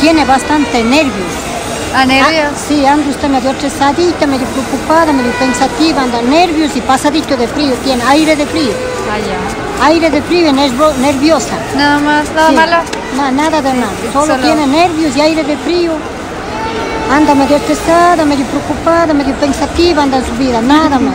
tiene bastante nervios. Ah, ah, Sí, usted medio testadita, medio preocupada, medio pensativa, anda nervios y pasadito de frío, tiene aire de frío. Aire de frío y nerviosa. Nada más, nada malo. nada de nada. Solo, tiene nervios y aire de frío. Anda medio estresada, medio preocupada, medio pensativa, anda en su vida, nada más,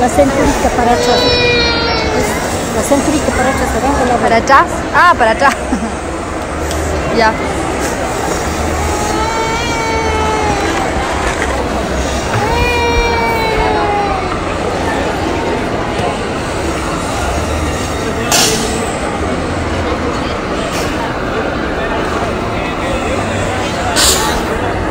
La centurita para allá. La centurita para chas. ¿Para atrás? Ah, para atrás. ya.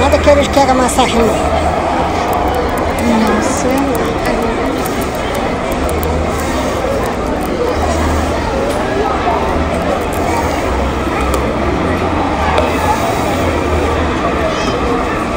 Nada que eles querem massagem. Não sei.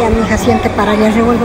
Ya mi hija siente para allá, revuelve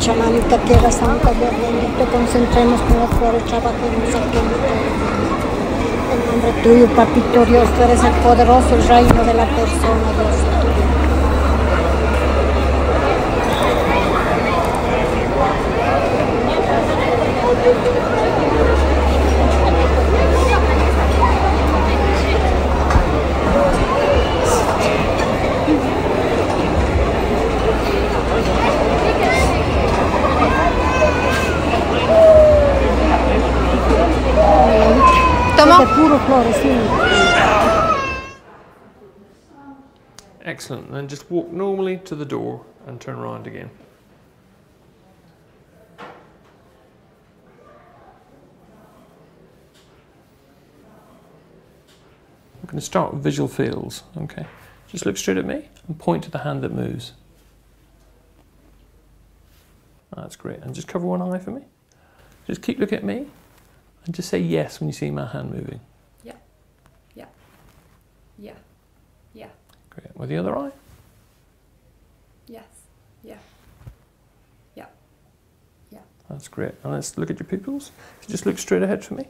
Chamánica, tierra santa, Dios bendito, concentremos con los el trabajo de nuestra En nombre tuyo, papito Dios, tú eres el poderoso, el reino de la persona, Dios. Excellent, then just walk normally to the door and turn around again. I'm going to start with visual fields. Okay, just look straight at me and point to the hand that moves. That's great. And just cover one eye for me. Just keep looking at me and just say yes when you see my hand moving. Yeah. Yeah. Yeah. Yeah. Great. With the other eye? Yes. Yeah. Yeah. That's great. let's look at your pupils. just look straight ahead for me.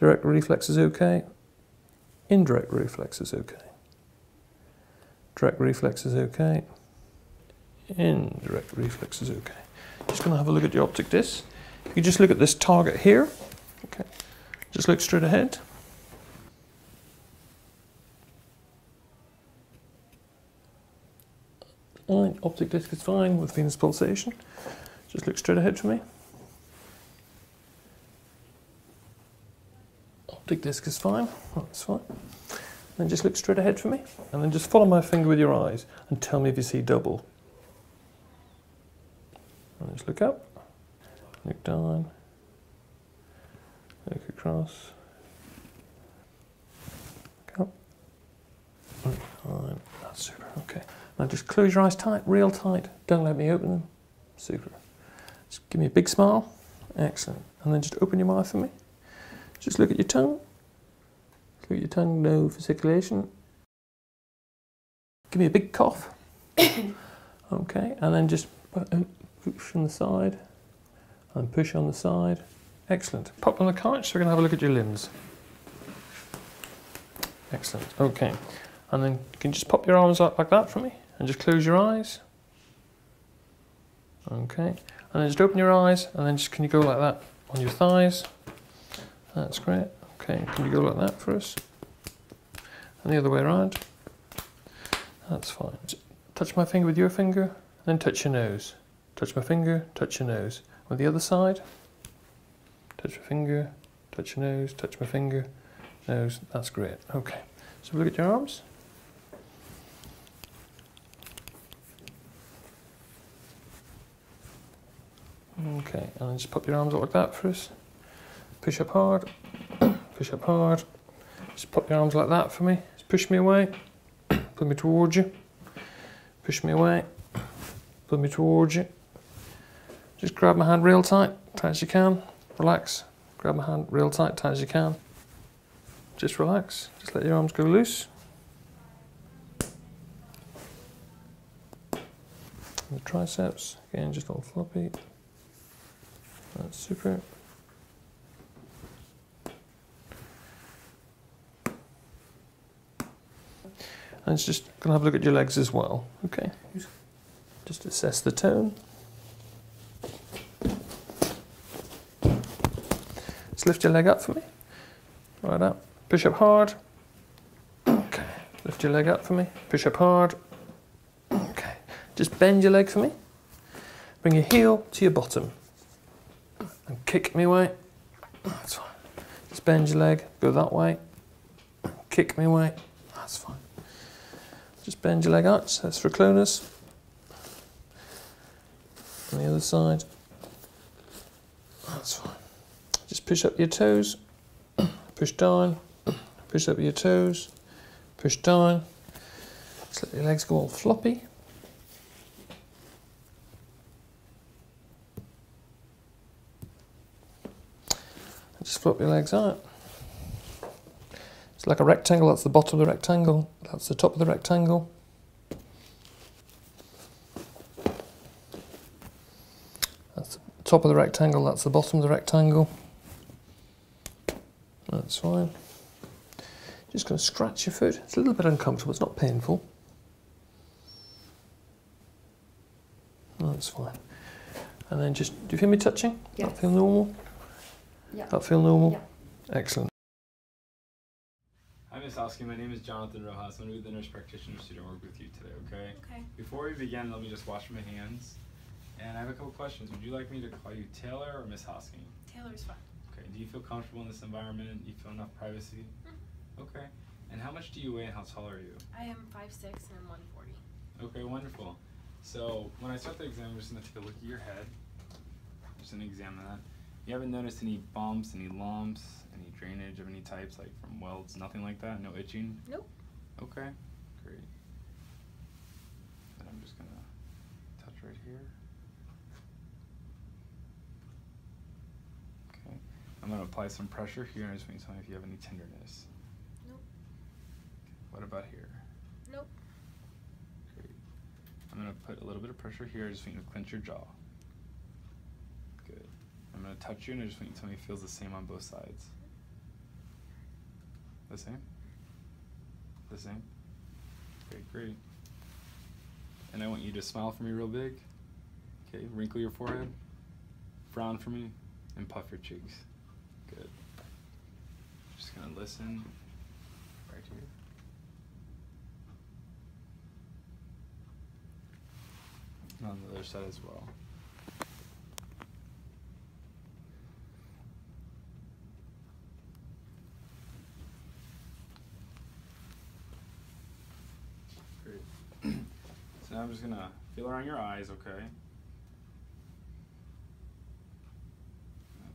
Direct reflex is okay. Indirect reflex is okay. Direct reflex is okay. Indirect reflex is okay. Just going to have a look at your optic disc. If you just look at this target here, okay, just look straight ahead optic disc is fine with venous pulsation. Just look straight ahead for me. Optic disc is fine. That's fine. Then just look straight ahead for me. And then just follow my finger with your eyes and tell me if you see double. just look up, look down, look across, Go. Oh, super. Okay. Now just close your eyes tight, real tight. Don't let me open them. Super. Just give me a big smile. Excellent. And then just open your mouth for me. Just look at your tongue. Look at your tongue, no fasciculation. Give me a big cough. okay, and then just push on the side and push on the side. Excellent. Pop on the couch, so we're going to have a look at your limbs. Excellent. Okay. And then can you just pop your arms up like that for me and just close your eyes. Okay. And then just open your eyes and then just can you go like that on your thighs? That's great. Okay. Can you go like that for us? And the other way around. That's fine. touch my finger with your finger, then touch your nose touch my finger, touch your nose. On the other side, touch my finger, touch your nose, touch my finger, nose, that's great. Okay, so look at your arms. Okay, and just pop your arms out like that for us. Push up hard, push up hard. Just pop your arms like that for me. Just push me away, pull me towards you. Push me away. Put me towards you. Just grab my hand real tight, tight as you can. Relax. Grab my hand real tight, tight as you can. Just relax. Just let your arms go loose. the triceps, again, just all floppy. That's super. And it's just going to have a look at your legs as well, okay? Just assess the tone. Just lift your leg up for me. Right up. Push up hard. Okay. Lift your leg up for me. Push up hard. Okay. Just bend your leg for me. Bring your heel to your bottom and kick me way. That's fine. Just bend your leg, go that way, kick me way. That's fine. Just bend your leg out, so that's cloners. On the other side. That's fine. Just push up your toes, push down, push up your toes, push down. Just let your legs go all floppy. Just flop your legs out. It's like a rectangle, that's the bottom of the rectangle, that's the top of the rectangle. That's the top of the rectangle, that's the bottom of the rectangle. That's fine. Just going to scratch your foot. It's a little bit uncomfortable, it's not painful. Oh, that's fine. And then just, do you feel me touching? Yes. That feel normal? Yeah. That feel normal? Yeah. Excellent. Hi, Ms. Oski. My name is Jonathan Rojas. I'm the nurse practitioner student work with you today, okay? Okay. Before we begin, let me just wash my hands. And I have a couple questions. Would you like me to call you Taylor or Miss Hosking? Taylor is fine. Okay. Do you feel comfortable in this environment? you feel enough privacy? Mm-hmm. Okay. And how much do you weigh and how tall are you? I am 5'6 and I'm 140. Okay, wonderful. So when I start the exam, I'm just going to take a look at your head. just going to examine that. You haven't noticed any bumps, any lumps, any drainage of any types, like from welds, nothing like that? No itching? Nope. Okay, great. And I'm just going to touch right here. Okay, I'm going to apply some pressure here and just want you to tell me if you have any tenderness. Nope. What about here? Nope. Great. I'm going to put a little bit of pressure here. just want you to clench your jaw. Good. I'm going to touch you and I just want you to tell me it feels the same on both sides. The same? The same? Okay, great. And I want you to smile for me real big. Okay, wrinkle your forehead, frown for me, and puff your cheeks. Good. Just gonna listen right here. on the other side as well. Great. so now I'm just gonna feel around your eyes, okay?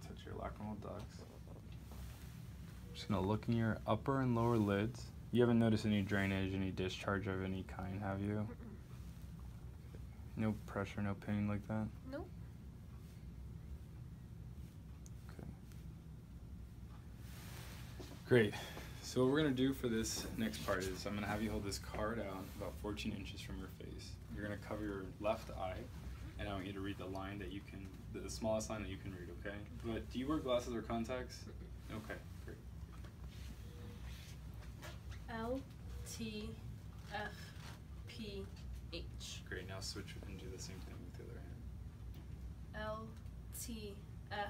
touch your lacrimal ducts. just gonna look in your upper and lower lids. You haven't noticed any drainage, any discharge of any kind, have you? No pressure, no pain like that? Nope. Okay. Great. So what we're gonna do for this next part is I'm gonna have you hold this card out about 14 inches from your face. You're gonna cover your left eye, and I want you to read the line that you can, the smallest line that you can read, okay? But do you wear glasses or contacts? Okay, great. L, T, F, P, H. Great, now switch and do the same thing with the other hand. L, T F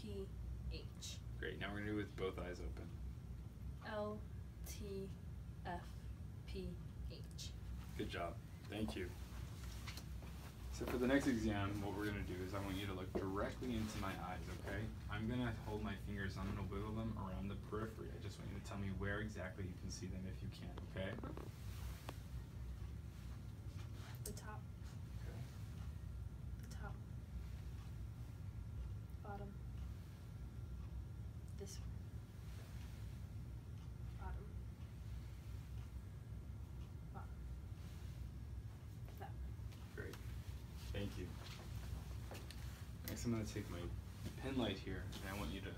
P H. Great. Now we're gonna do it with both eyes open. L T F P H. Good job. Thank you. So for the next exam, what we're gonna do is I want you to look directly into my eyes, okay? I'm gonna hold my fingers, I'm gonna wiggle them around the periphery. I just want you to tell me where exactly you can see them if you can, okay? Mm-hmm. The top. The top. Bottom. This Bottom. Bottom. That Great. Thank you. Next I'm going to take my pen light here and I want you to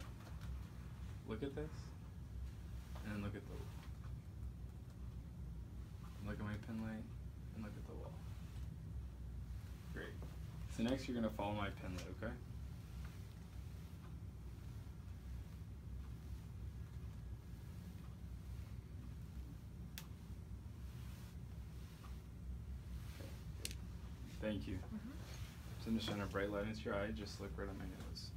look at this and look at the Look at my pen light and look at the wall. Great. So next you're gonna follow my pen light, okay? Thank you. Mm -hmm. So I'm just shining a bright light into your eye, just look right on my nose.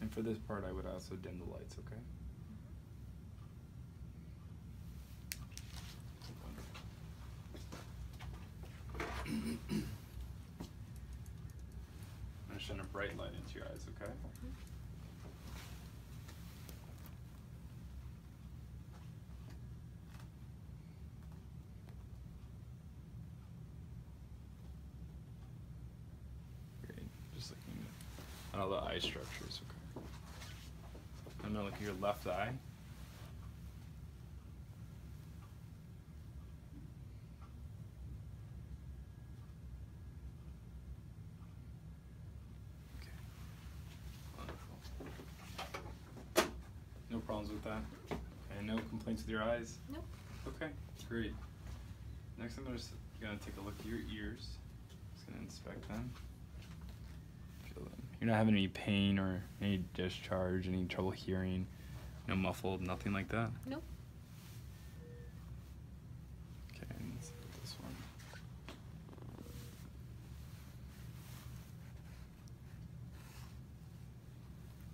And for this part, I would also dim the lights, okay? I'm gonna send a bright light into your eyes, okay? Great. Just looking at all the eye structures. Okay. I'm gonna look at your left eye. Okay. No problems with that. And no complaints with your eyes? Nope. Okay, great. Next, I'm just gonna take a look at your ears. Just gonna inspect them. You're not having any pain or any discharge, any trouble hearing, no muffled, nothing like that? Nope. Okay, let's look this one.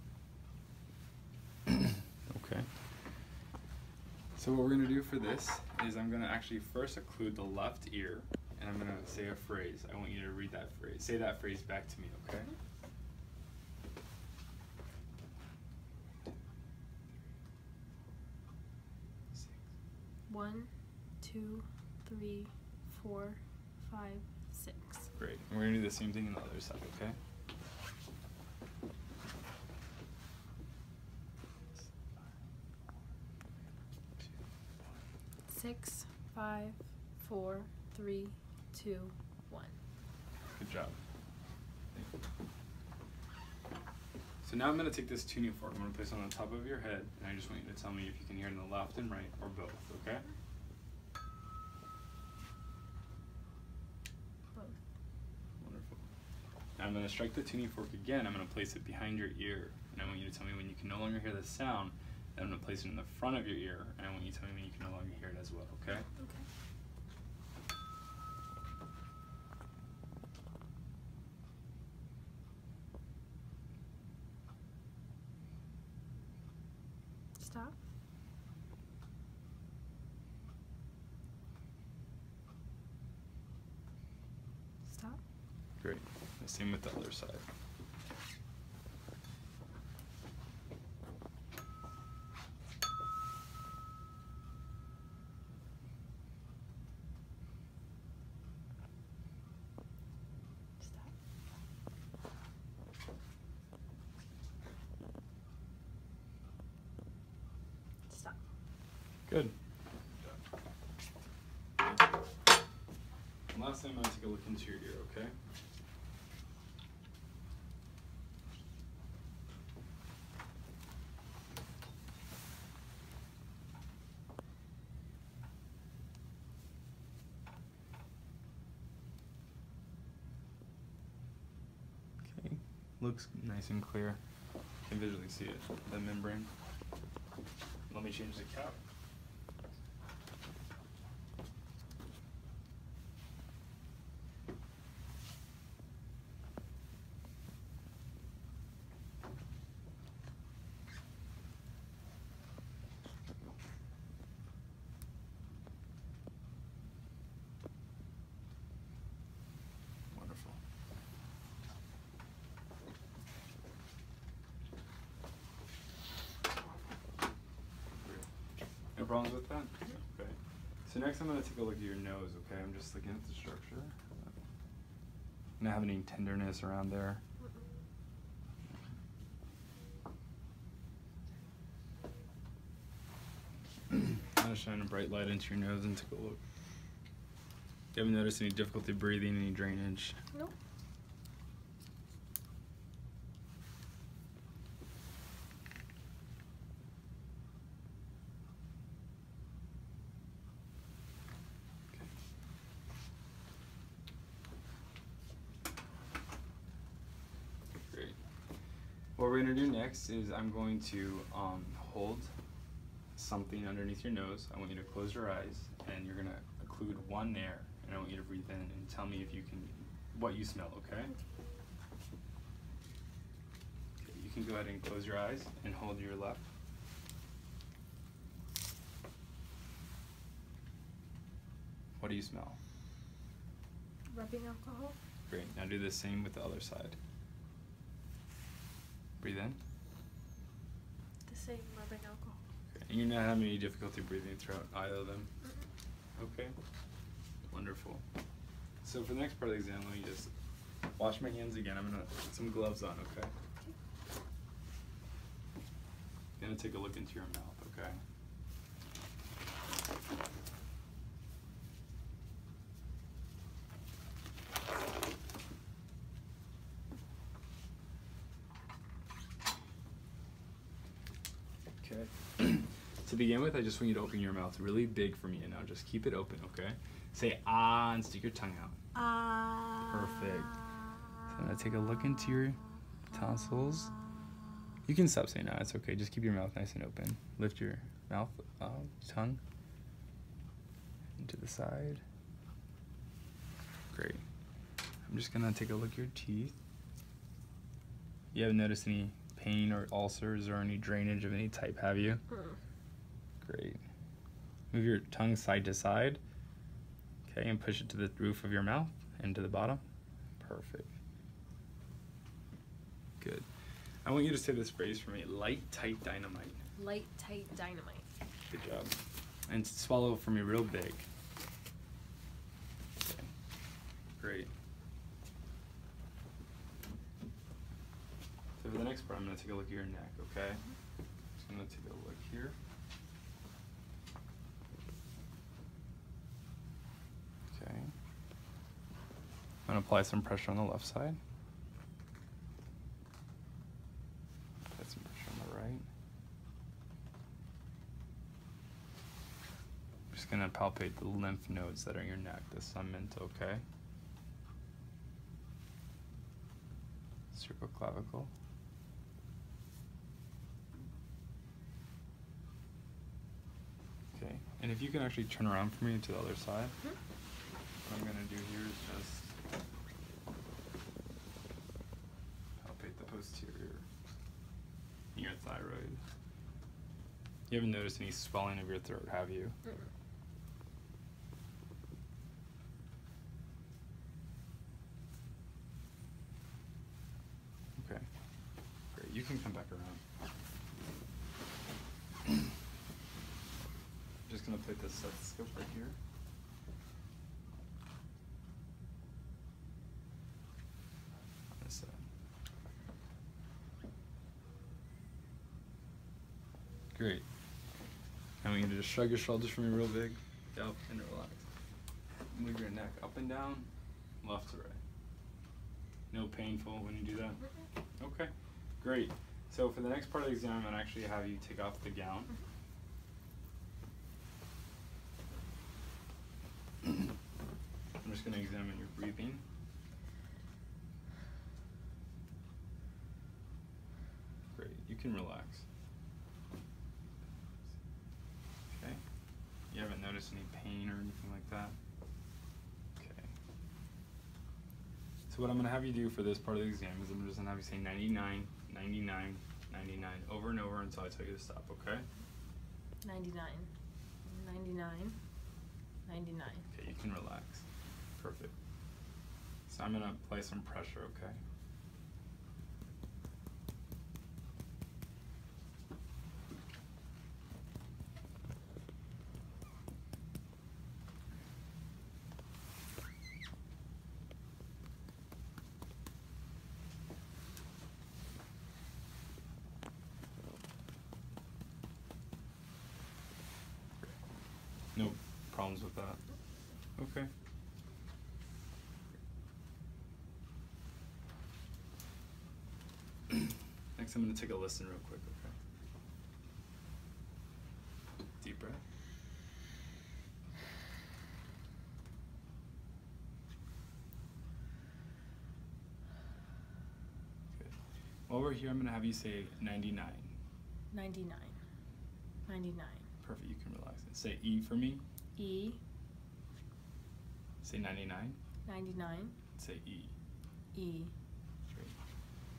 okay. So what we're gonna do for this is I'm gonna actually first occlude the left ear and I'm gonna say a phrase. I want you to read that phrase. Say that phrase back to me, okay? One, two, three, four, five, Great. we're going to do the same thing on the other side, okay? Six, five, four, three, two, one. Good job. So now I'm going to take this tuning fork. I'm going to place it on the top of your head, and I just want you to tell me if you can hear in the left and right or both, okay? Both. Wonderful. I'm going to strike the tuning fork again. I'm going to place it behind your ear. And I want you to tell me when you can no longer hear the sound. Then I'm going to place it in the front of your ear. And I want you to tell me when you can no longer hear it as well, okay? Okay. stop? Stop. Great. The same with the other side. Stop. Stop. Good. last thing I'm to take a look into your ear, okay? Okay, looks nice and clear. I can visually see it, the membrane. Let me change the cap. Wonderful. No problems with that? Okay. So next I'm going to take a look at your nose, okay? I'm just looking at the structure. Not have any tenderness around there i am gonna shine a bright light into your nose and take a look. You haven't noticed any difficulty breathing, any drainage? Nope. Great. What we're going to do next is I'm going to um, hold something underneath your nose. I want you to close your eyes and you're going to occlude one air and I want you to breathe in and tell me if you can, what you smell, okay you can go ahead and close your eyes and hold your left. What do you smell? rubbing alcohol. Great. Now do the same with the other side. Breathe in. The same rubbing alcohol. you're not having any difficulty breathing throughout either of them? Mm-hmm. Okay. Wonderful. So for the next part of the exam, let me just wash my hands again. I'm gonna put some gloves on, okay? okay. Gonna take a look into your mouth, okay? Okay. to begin with, I just want you to open your mouth really big for me and now just keep it open, okay? Say ah and stick your tongue out. Ah. Perfect. So I'm gonna take a look into your tonsils. You can stop saying ah, it's okay. Just keep your mouth nice and open. Lift your mouth, uh, tongue, into the side. Great. I'm just gonna take a look your teeth. You haven't noticed any pain or ulcers or any drainage of any type, have you? Mm. Great. Move your tongue side to side. Okay, and push it to the roof of your mouth and to the bottom. Perfect. Good. I want you to say this phrase for me light, tight dynamite. Light, tight dynamite. Good job. And swallow for me real big. Great. So for the next part, I'm going to take a look at your neck, okay? So I'm going to take a look here. Okay and apply some pressure on the left side. Get some pressure on the right. just gonna palpate the lymph nodes that are in your neck, the cement, okay? Cerviclavicle. Okay, and if you can actually turn around for me to the other side, hmm? what I'm gonna do here is just palpate the posterior near thyroid. You haven't noticed any swelling of your throat, have you? Okay, great. You can come back around. I'm just gonna put this stethoscope right here. Great. Now we're to just shrug your shoulders for me real big. Yep, and relax. Move your neck up and down left to right. No painful when you do that? Mm-hmm. Okay, great. So for the next part of the exam, I'd actually have you take off the gown. Mm-hmm. I'm just going to examine your breathing. Great, you can relax. Okay, you haven't noticed any pain or anything like that? So what I'm going to have you do for this part of the exam is I'm just going to have you say 99, 99, 99 over and over until I tell you to stop, okay? 99, 99, 99. Okay, you can relax. Perfect. So I'm going to apply some pressure, okay? No problems with that. Okay. Next, I'm going to take a listen real quick, okay? Deep breath. Good. While here, I'm going to have you say 99. 99. 99. Perfect, you can relax. And say E for me. E. Say 99. 99. Say E. E. Great.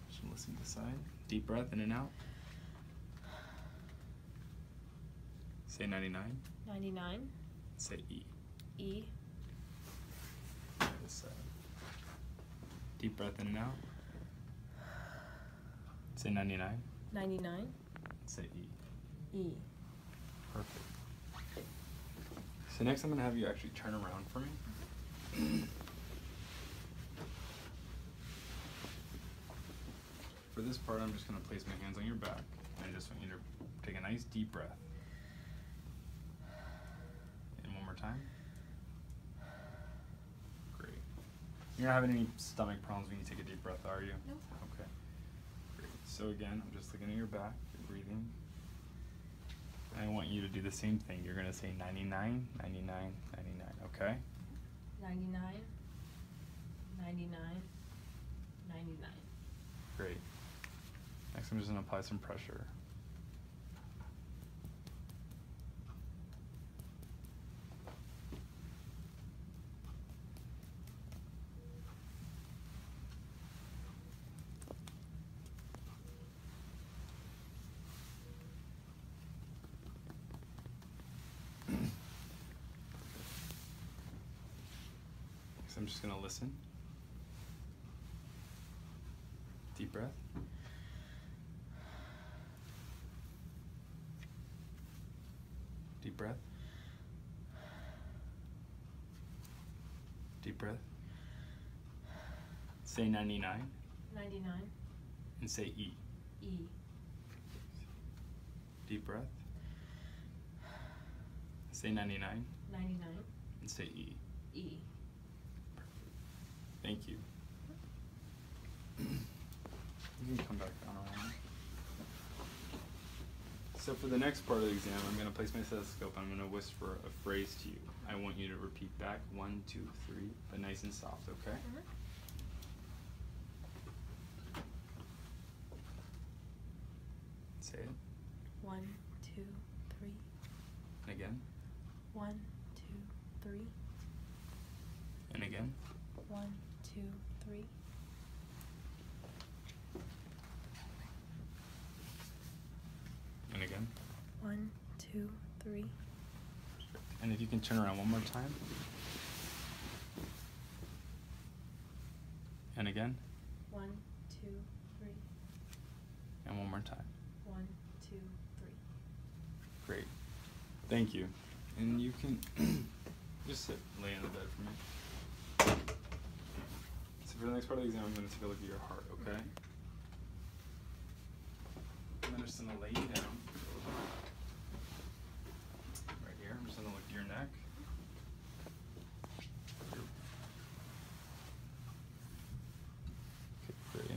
Just listen to the side. Deep breath in and out. Say 99. 99. Say E. E. This side. Deep breath in and out. Say 99. 99. Say E. E. Perfect. So next I'm going to have you actually turn around for me. for this part, I'm just going to place my hands on your back. And I just want you to take a nice deep breath. And one more time. Great. You're not having any stomach problems when you take a deep breath, are you? No. Okay. Great. So again, I'm just looking at your back, your breathing. I want you to do the same thing. You're going to say 99, 99, 99, okay? 99, 99, 99. Great. Next, I'm just going to apply some pressure so I'm just going to listen. Deep breath. Deep breath. Deep breath. Say 99. 99. And say E. E. Deep breath. Say 99. 99. And say E. E. Thank you. you can come back down So for the next part of the exam, I'm going to place my stethoscope I'm going to whisper a phrase to you. I want you to repeat back one, two, three, but nice and soft, okay? Mm-hmm. Say it. One, two, three. again. One, two, three. And again. One, two, three. And again. One, two, three. And if you can turn around one more time. And again. One, two, three. And one more time. One, two, three. Great. Thank you. And you can just sit, lay in the bed for me. So for the next part of the exam, I'm going to take a look at your heart, okay? I'm gonna lay you down. Right here, I'm just gonna look to your neck. Okay,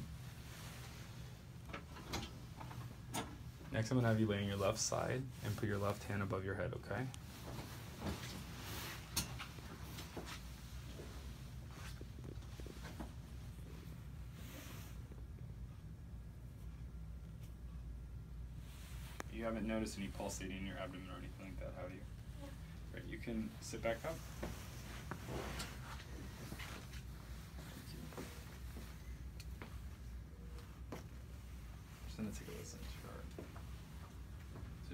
Next, I'm gonna have you lay on your left side and put your left hand above your head, okay? You haven't noticed any pulsating in your abdomen or anything like that, have you? Right, you can sit back up.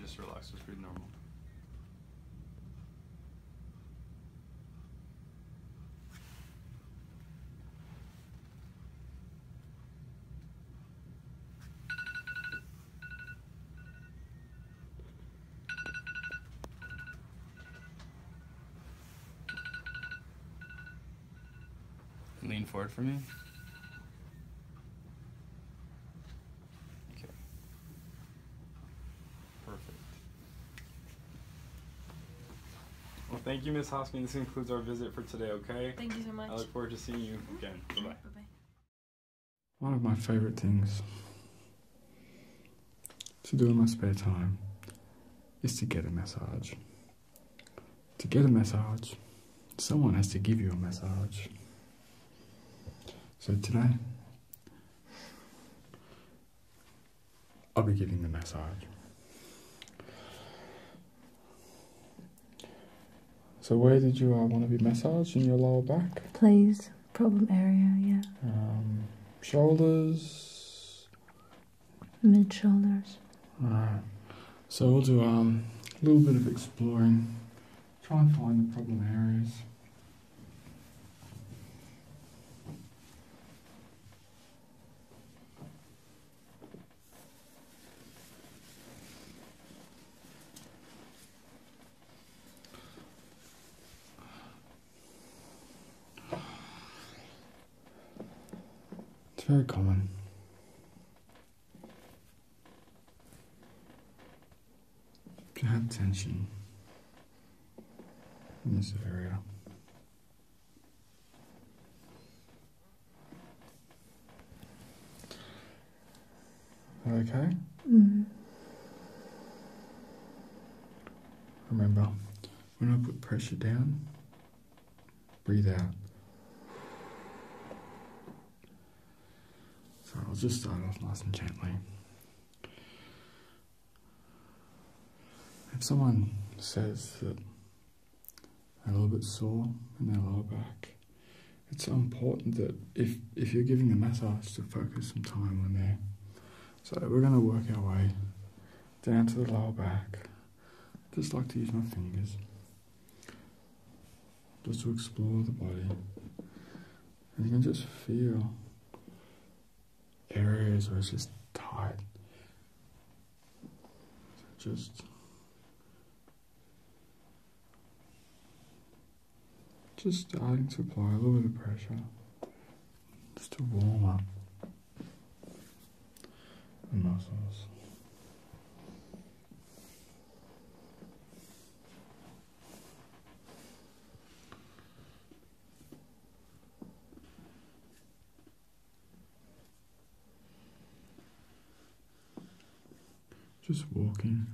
just relax, just breathe normal. Lean forward for me. Okay. Perfect. Well, thank you, Miss Hoskin. This concludes our visit for today, okay? Thank you so much. I look forward to seeing you mm-hmm. again. Bye-bye. One of my favorite things to do in my spare time is to get a massage. To get a massage, someone has to give you a massage. So today, I'll be giving the massage. So, where did you uh, want to be massaged? In your lower back? Please, problem area, yeah. Um, shoulders? Mid shoulders. Alright. So, we'll do um, a little bit of exploring. Try and find the problem areas. It's very common plant tension in this area. Okay. Mm. Remember, when I put pressure down, breathe out. So I'll just start off nice and gently. If someone says that they're a little bit sore in their lower back, it's important that if, if you're giving a massage to focus some time on there. So we're going to work our way down to the lower back. I just like to use my fingers just to explore the body. And you can just feel areas where it's just tight. Just just starting to apply a little bit of pressure just to warm up the muscles. Just walking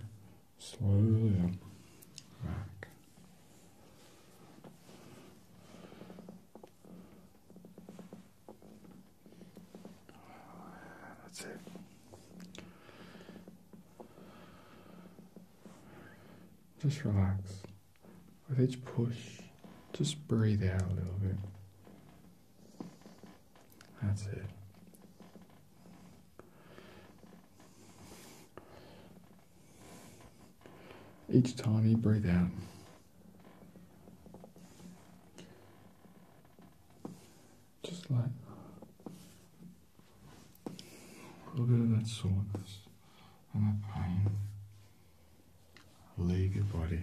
slowly up back. That's it. Just relax. With each push, just breathe out a little bit. That's it. Each time you breathe out, just like Look at that soreness and that pain. Leave your body.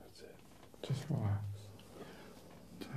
That's it. Just relax. okay.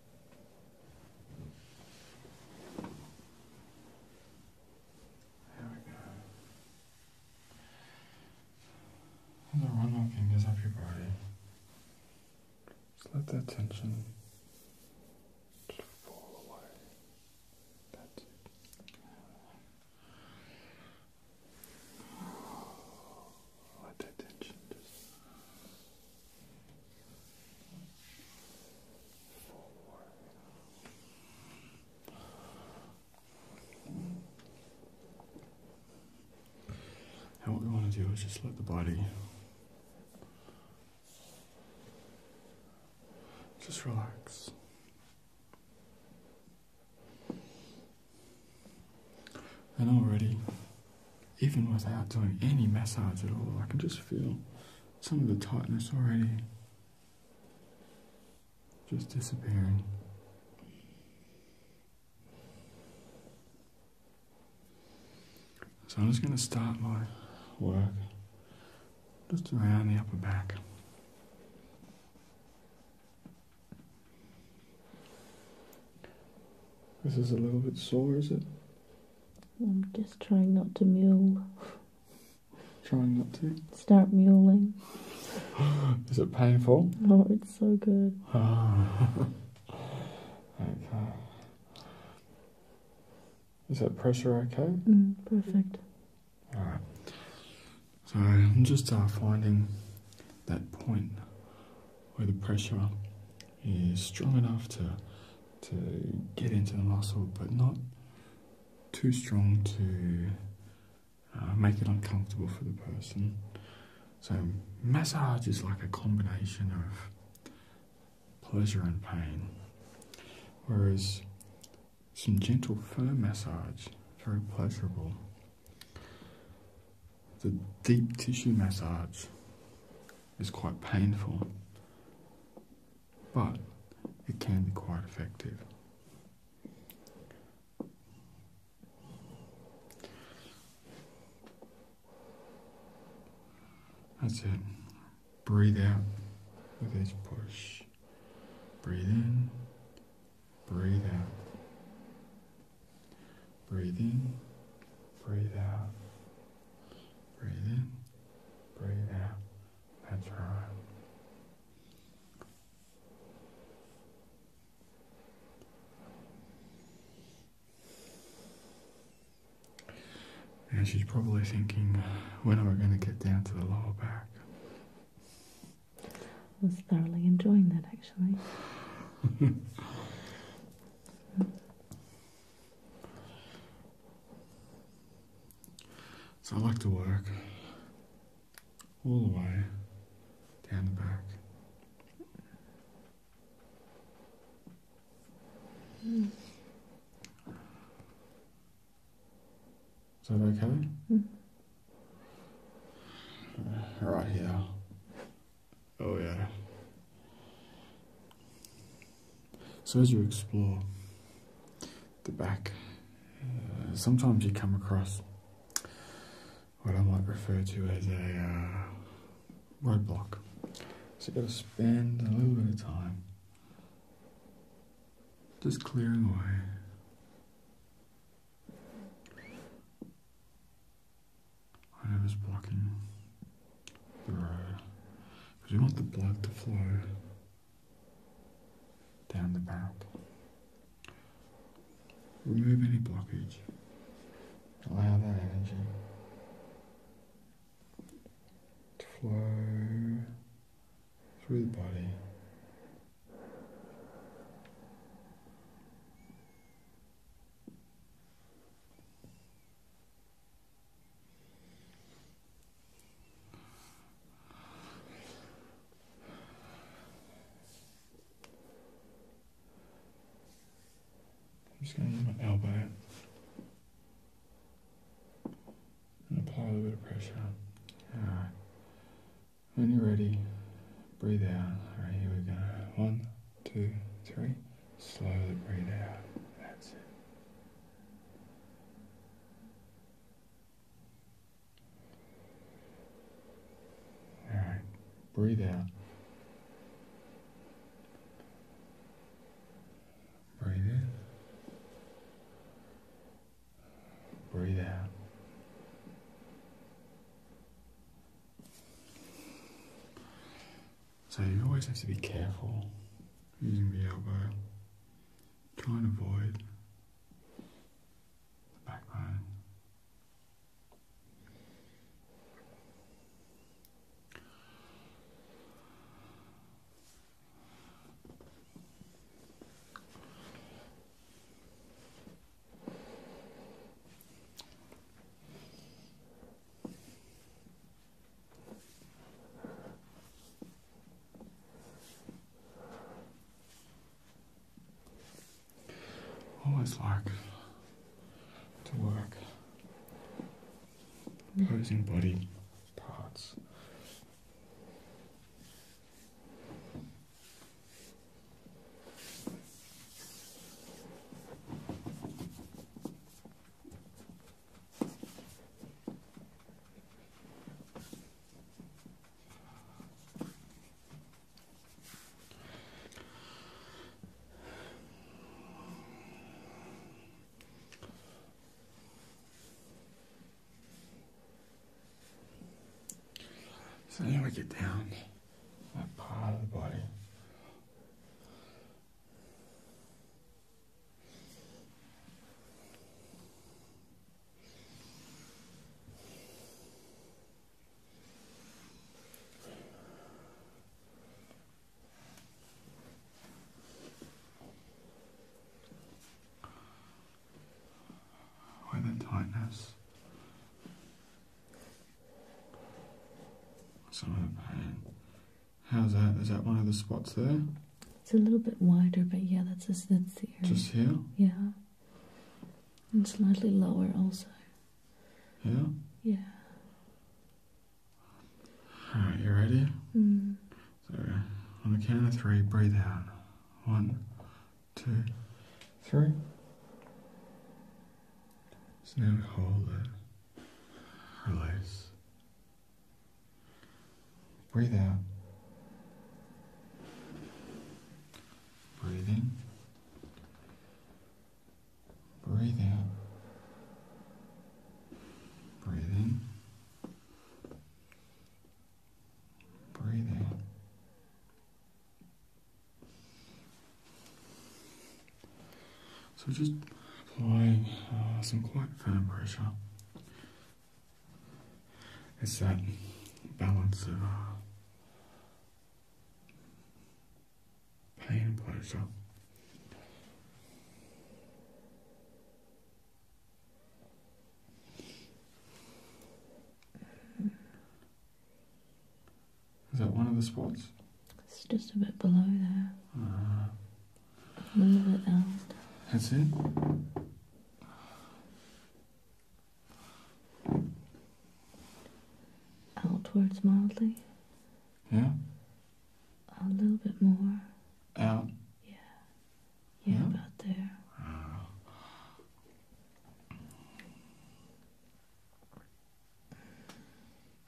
There we go. Hold on, run your fingers your body. Just let that tension fall away. That's it let And what we want to do is just let the body just relax. And already even without doing any massage at all, I can just feel some of the tightness already just disappearing. So I'm just going to start my work just around the upper back. This is a little bit sore, is it? I'm just trying not to mule. trying not to? Start muling. is it painful? Oh, it's so good. okay. Is that pressure okay? Mm, perfect. Alright. So I'm just uh, finding that point where the pressure is strong enough to to get into the muscle, but not too strong to uh, make it uncomfortable for the person. So massage is like a combination of pleasure and pain, whereas some gentle firm massage, very pleasurable. The deep tissue massage is quite painful, but it can be quite effective. That's it. Breathe out with each push. Breathe in, breathe out. Breathing. breathe out. Breathe in, breathe out. That's right. And she's probably thinking, when are we going to get down to the lower back? I was thoroughly enjoying that actually. So I like to work all the way down the back. Is that okay? Mm. right here. Oh, yeah. So, as you explore the back, uh, sometimes you come across what I might refer to as a uh, roadblock. So, you've got to spend a little bit of time just clearing away. I blocking the road. Because you want the blood to flow down the barrel. Remove any blockage. Allow that energy to flow through the body. I'm just going to use my elbow and apply a little bit of pressure. Alright. When you're ready, breathe out. Alright, here we go. One two, three. Slowly breathe out. That's it. All right, breathe out. Breathe in. Breathe out. So you always have to be careful using the elbow. Try and avoid the backbone. Always like to work opposing body parts. So here we get down that part of the body. Where the tightness, some How's that? Is that one of the spots there? It's a little bit wider, but yeah, that's just, that's the Just here. Yeah, and slightly lower also. Yeah. Yeah. All right, you ready? Mm. So, on the count of three, breathe out. One, two, three. So now hold it, release. Breathe out. Breathe in. Breathe out. Breathe in. Breathe out. So just applying uh, some quite firm pressure. It's that balance of uh, pain and pleasure. Is that one of the spots? It's just a bit below there. Mm-hmm. a little bit down. That's it? Outwards mildly. Yeah? A little bit more. Out? Yeah. Yeah, yeah. about there. Ah.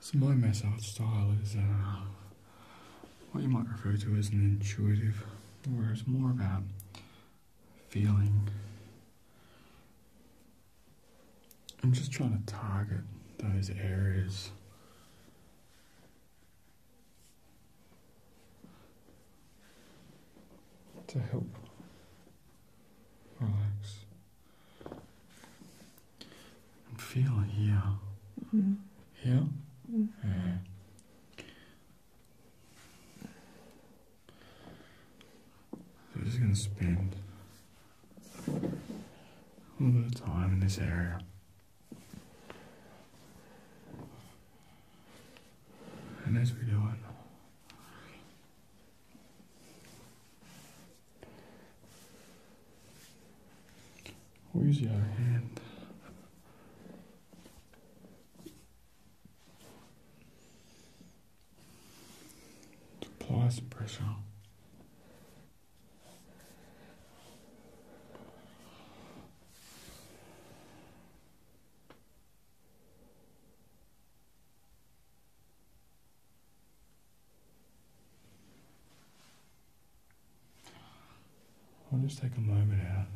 So my massage style is uh, what you might refer to as an intuitive, where it's more about feeling I'm just trying to target those areas to help relax. And feel here. Here? Mm. Yeah. So we just going to spend a little bit time in this area. And as we do it, Where's your hand? Apply some pressure. I'll just take a moment out.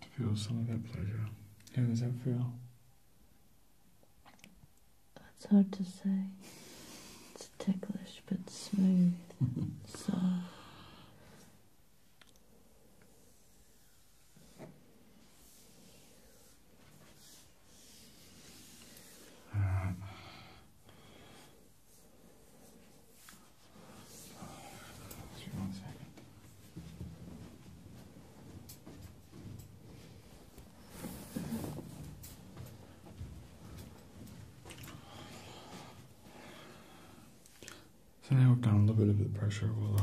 to Feel some of that pleasure. How does that feel? It's hard to say. It's ticklish but smooth, soft. Right. Uh, Just one second. So now we've done a little bit of the pressure, we'll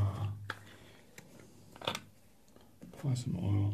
apply some oil.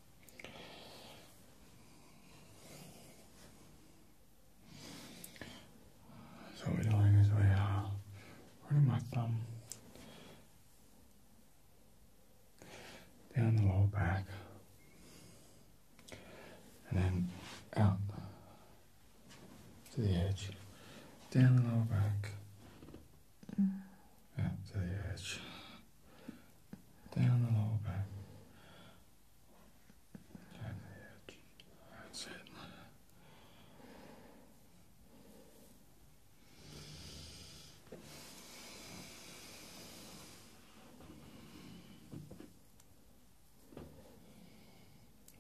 So we're doing is we are running my thumb down the lower back and then out to the edge, down the lower back, Mm. At the edge. Down the lower back. Down the edge. That's it.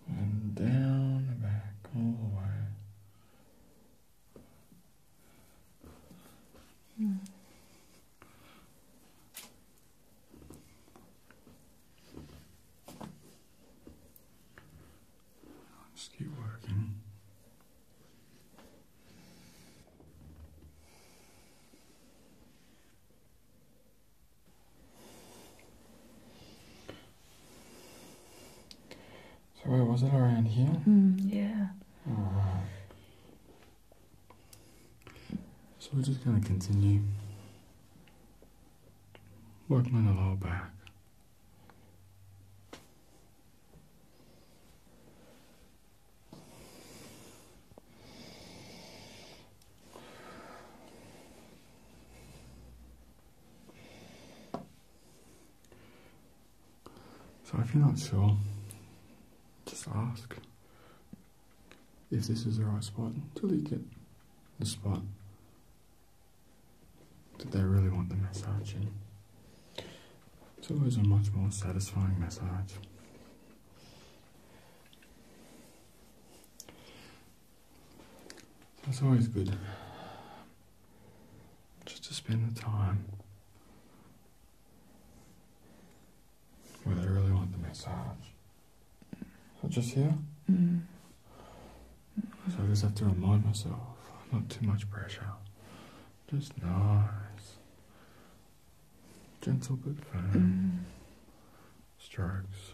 And down the back all the way. Let's keep working. So where was it around here? Hmm. yeah. So we're just going to continue working on the lower back. So if you're not sure, just ask if this is the right spot to you get the spot that they really want the massage in. It's always a much more satisfying massage. It's always good just to spend the time well, I really want the massage. just here? Mm. So I just have to remind myself, not too much pressure. Just nice. Gentle good firm. Mm. Strokes.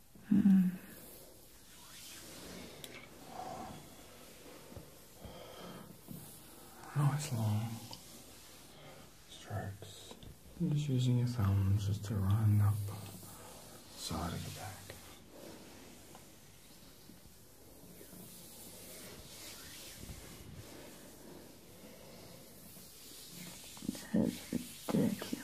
Mm. Nice long strokes. just using your thumbs just to run up the side of the back. That's ridiculous.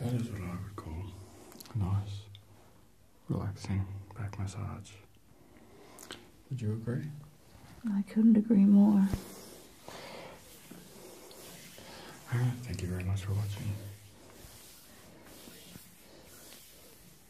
that is what I would call a nice, relaxing back massage. Would you agree? I couldn't agree more. Alright, thank you very much for watching.